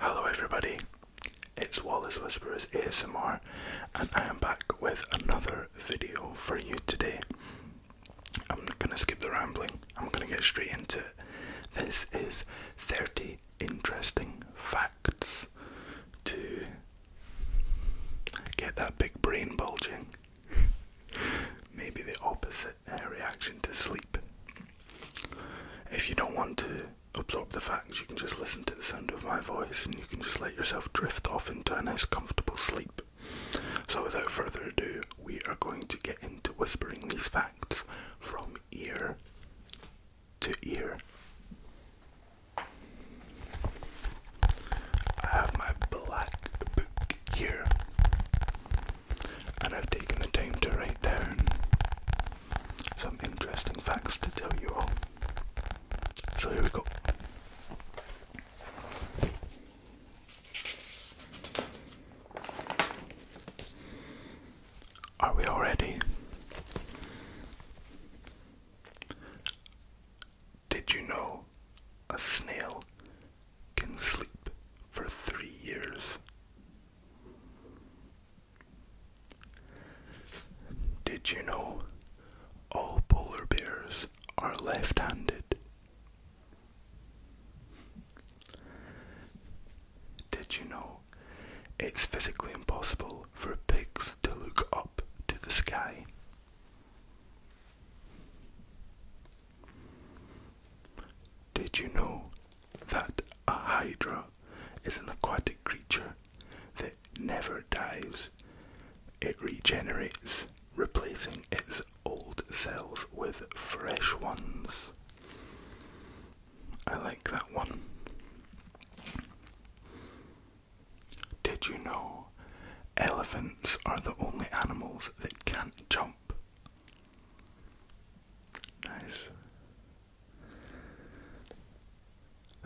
Hello, everybody. It's Wallace Whisperers ASMR, and I am back with another video for you today. I'm not gonna skip the rambling. I'm gonna get straight into it. This is 30 interesting facts to get that big brain bulging. Maybe the opposite reaction to sleep. If you don't want to absorb the facts, you can just listen to the sound of my voice and you can just let yourself drift off into a nice, comfortable sleep. So, without further ado, we are going to get into whispering these facts from ear to ear. I have my black book here, and I've taken the time to write down some interesting facts to tell you all. So here we go. Are we all ready? Did you know a snail can sleep for three years? Did you know all polar bears are left handed? Did you know it's physically impossible for pigs to look up to the sky. Did you know that a hydra is an aquatic creature that never dies? It regenerates, replacing its old cells with fresh ones. I like that one. Did you know elephants are the only animals that can't jump? Nice.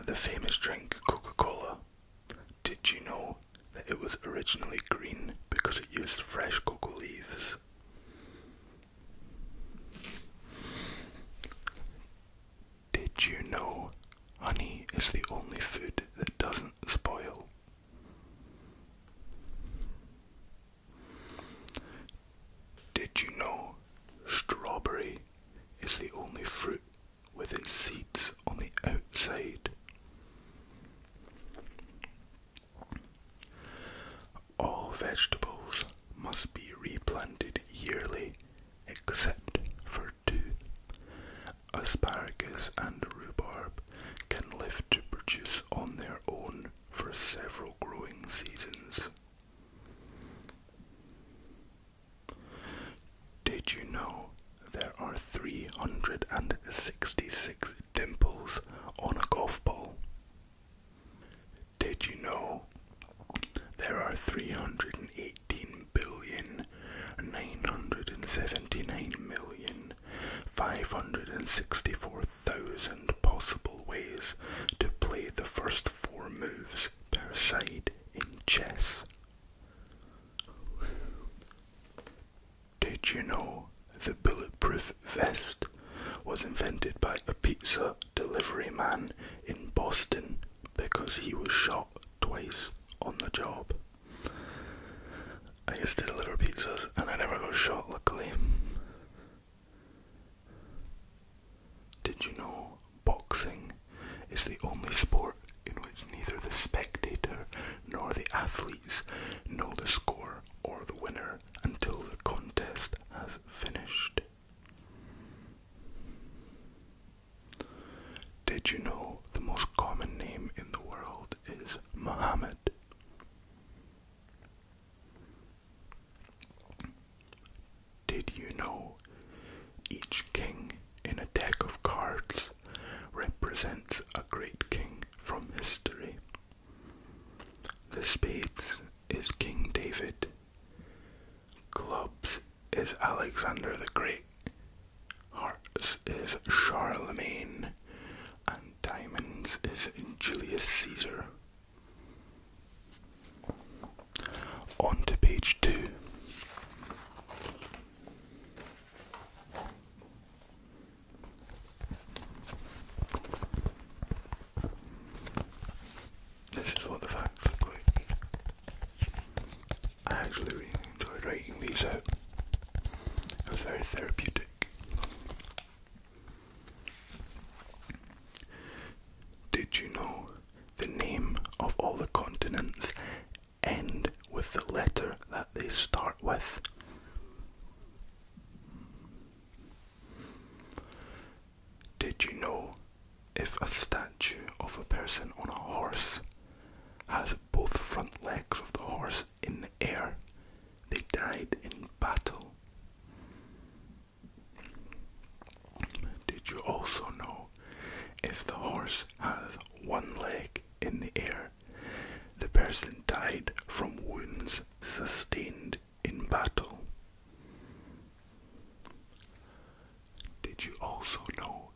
The famous drink Coca Cola. Did you know that it was originally green because it used fresh cocoa leaves? Did you know honey is the only food that doesn't spoil? Did you know strawberry is the only fruit with its seeds on the outside? all vegetables must be replanted yearly except for two. Asparagus and rhubarb can live to produce on their own for several growing seasons. Did you know there are 366 dimples on a golf ball? Did you know there are 318 billion 979 million 564,000 possible ways to play the first four moves per side in chess? Did you know the bulletproof vest was invented by a pizza delivery man in Boston because he was shot twice on the job. I used to deliver pizzas and I never got shot, luckily. Did you know boxing is the only sport in which neither the spectator nor the athletes know the score or the winner until the contest has finished? Did you know the most common name in the world is Muhammad? Did you know each king in a deck of cards represents a great king from history? The spades is King David, Clubs is Alexander the Great. Hearts is Charlemagne. And diamonds is Julius Caesar. On to page two. This is what the facts look like. I actually really enjoyed writing these out. It was very therapeutic. Did you know the name of all the continents end with the letter that they start with? Did you know if a statue of a person on a horse has both front legs of the horse in the air, they died in battle? Did you also know if the horse has one leg in the air, the person died from wounds sustained in battle. Did you also know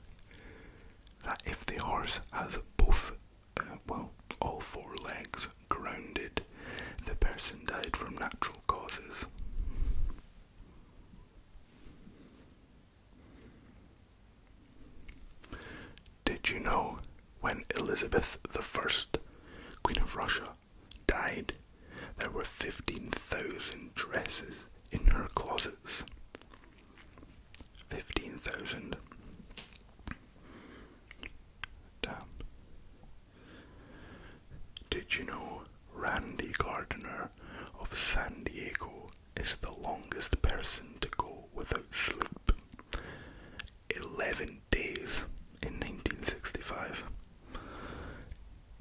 that if the horse has both, uh, well, all four legs grounded, the person died from natural causes? Did you know when Elizabeth the First, Queen of Russia, died, there were 15,000 dresses in her closets. 15,000. Damn. Did you know Randy Gardiner of San Diego is the longest person to go without sleep? 11 days in 1965.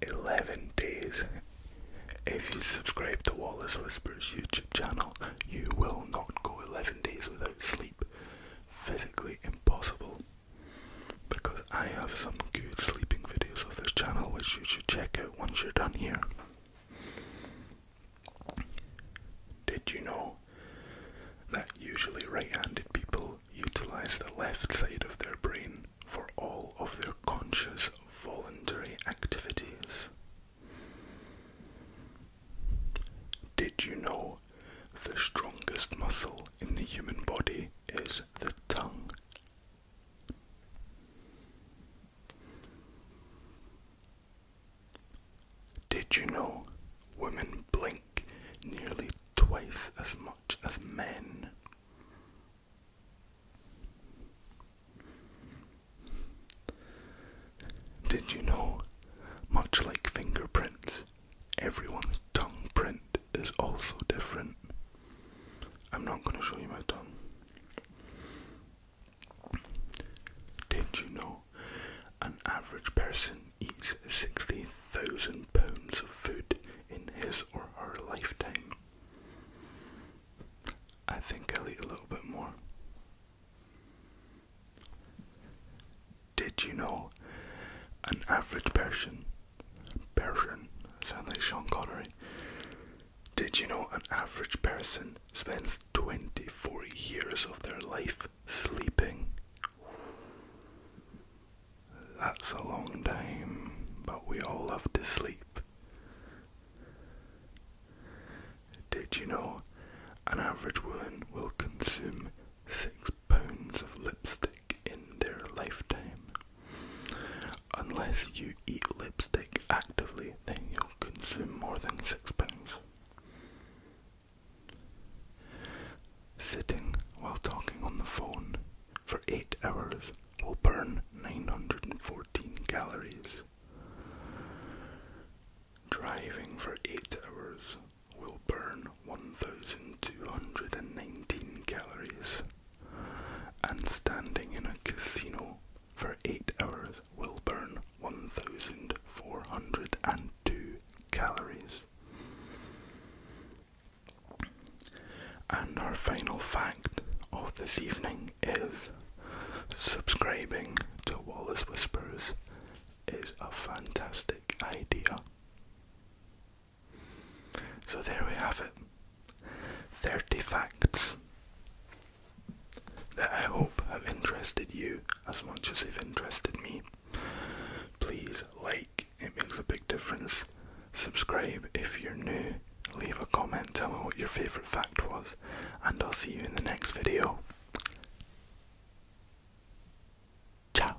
11 days. If you subscribe to Wallace Whispers YouTube channel, you will not go 11 days without sleep. Physically impossible. Because I have some good sleeping videos of this channel which you should check out once you're done here. Did you know that usually right-handed people utilize the left side of their brain for all of their conscious voluntary activities. Did you know the strongest muscle in the human body is the tongue? Did you know women blink nearly twice as much as men? Did you know, much like fingerprints, everyone's tongue print is also different? I'm not going to show you my tongue. Did you know an average person eats 60,000 pounds of food in his or her lifetime. I think I'll eat a little bit more. Did you know an average person, person, sound Sean Connery, did you know an average person spends 24 years of their life sleeping. That's a long time, but we all love to sleep. Did you know an average woman will consume six pounds of lipstick in their lifetime? Unless you eat lipstick actively, then you'll consume more than six pounds. Sitting while talking on the phone for 8 hours will burn 914 calories. Driving for 8 hours will burn 1219 calories. And standing in a casino for 8 hours will burn 1402 calories. And our final fact of this evening is subscribing to Wallace Whispers is a fantastic idea. So there we have it 30 facts that I hope have interested you as much as they've interested me. Please like, it makes a big difference. Subscribe if you're new. Leave a comment, tell me what your favourite fact was, and I'll see you in the next video. Ciao.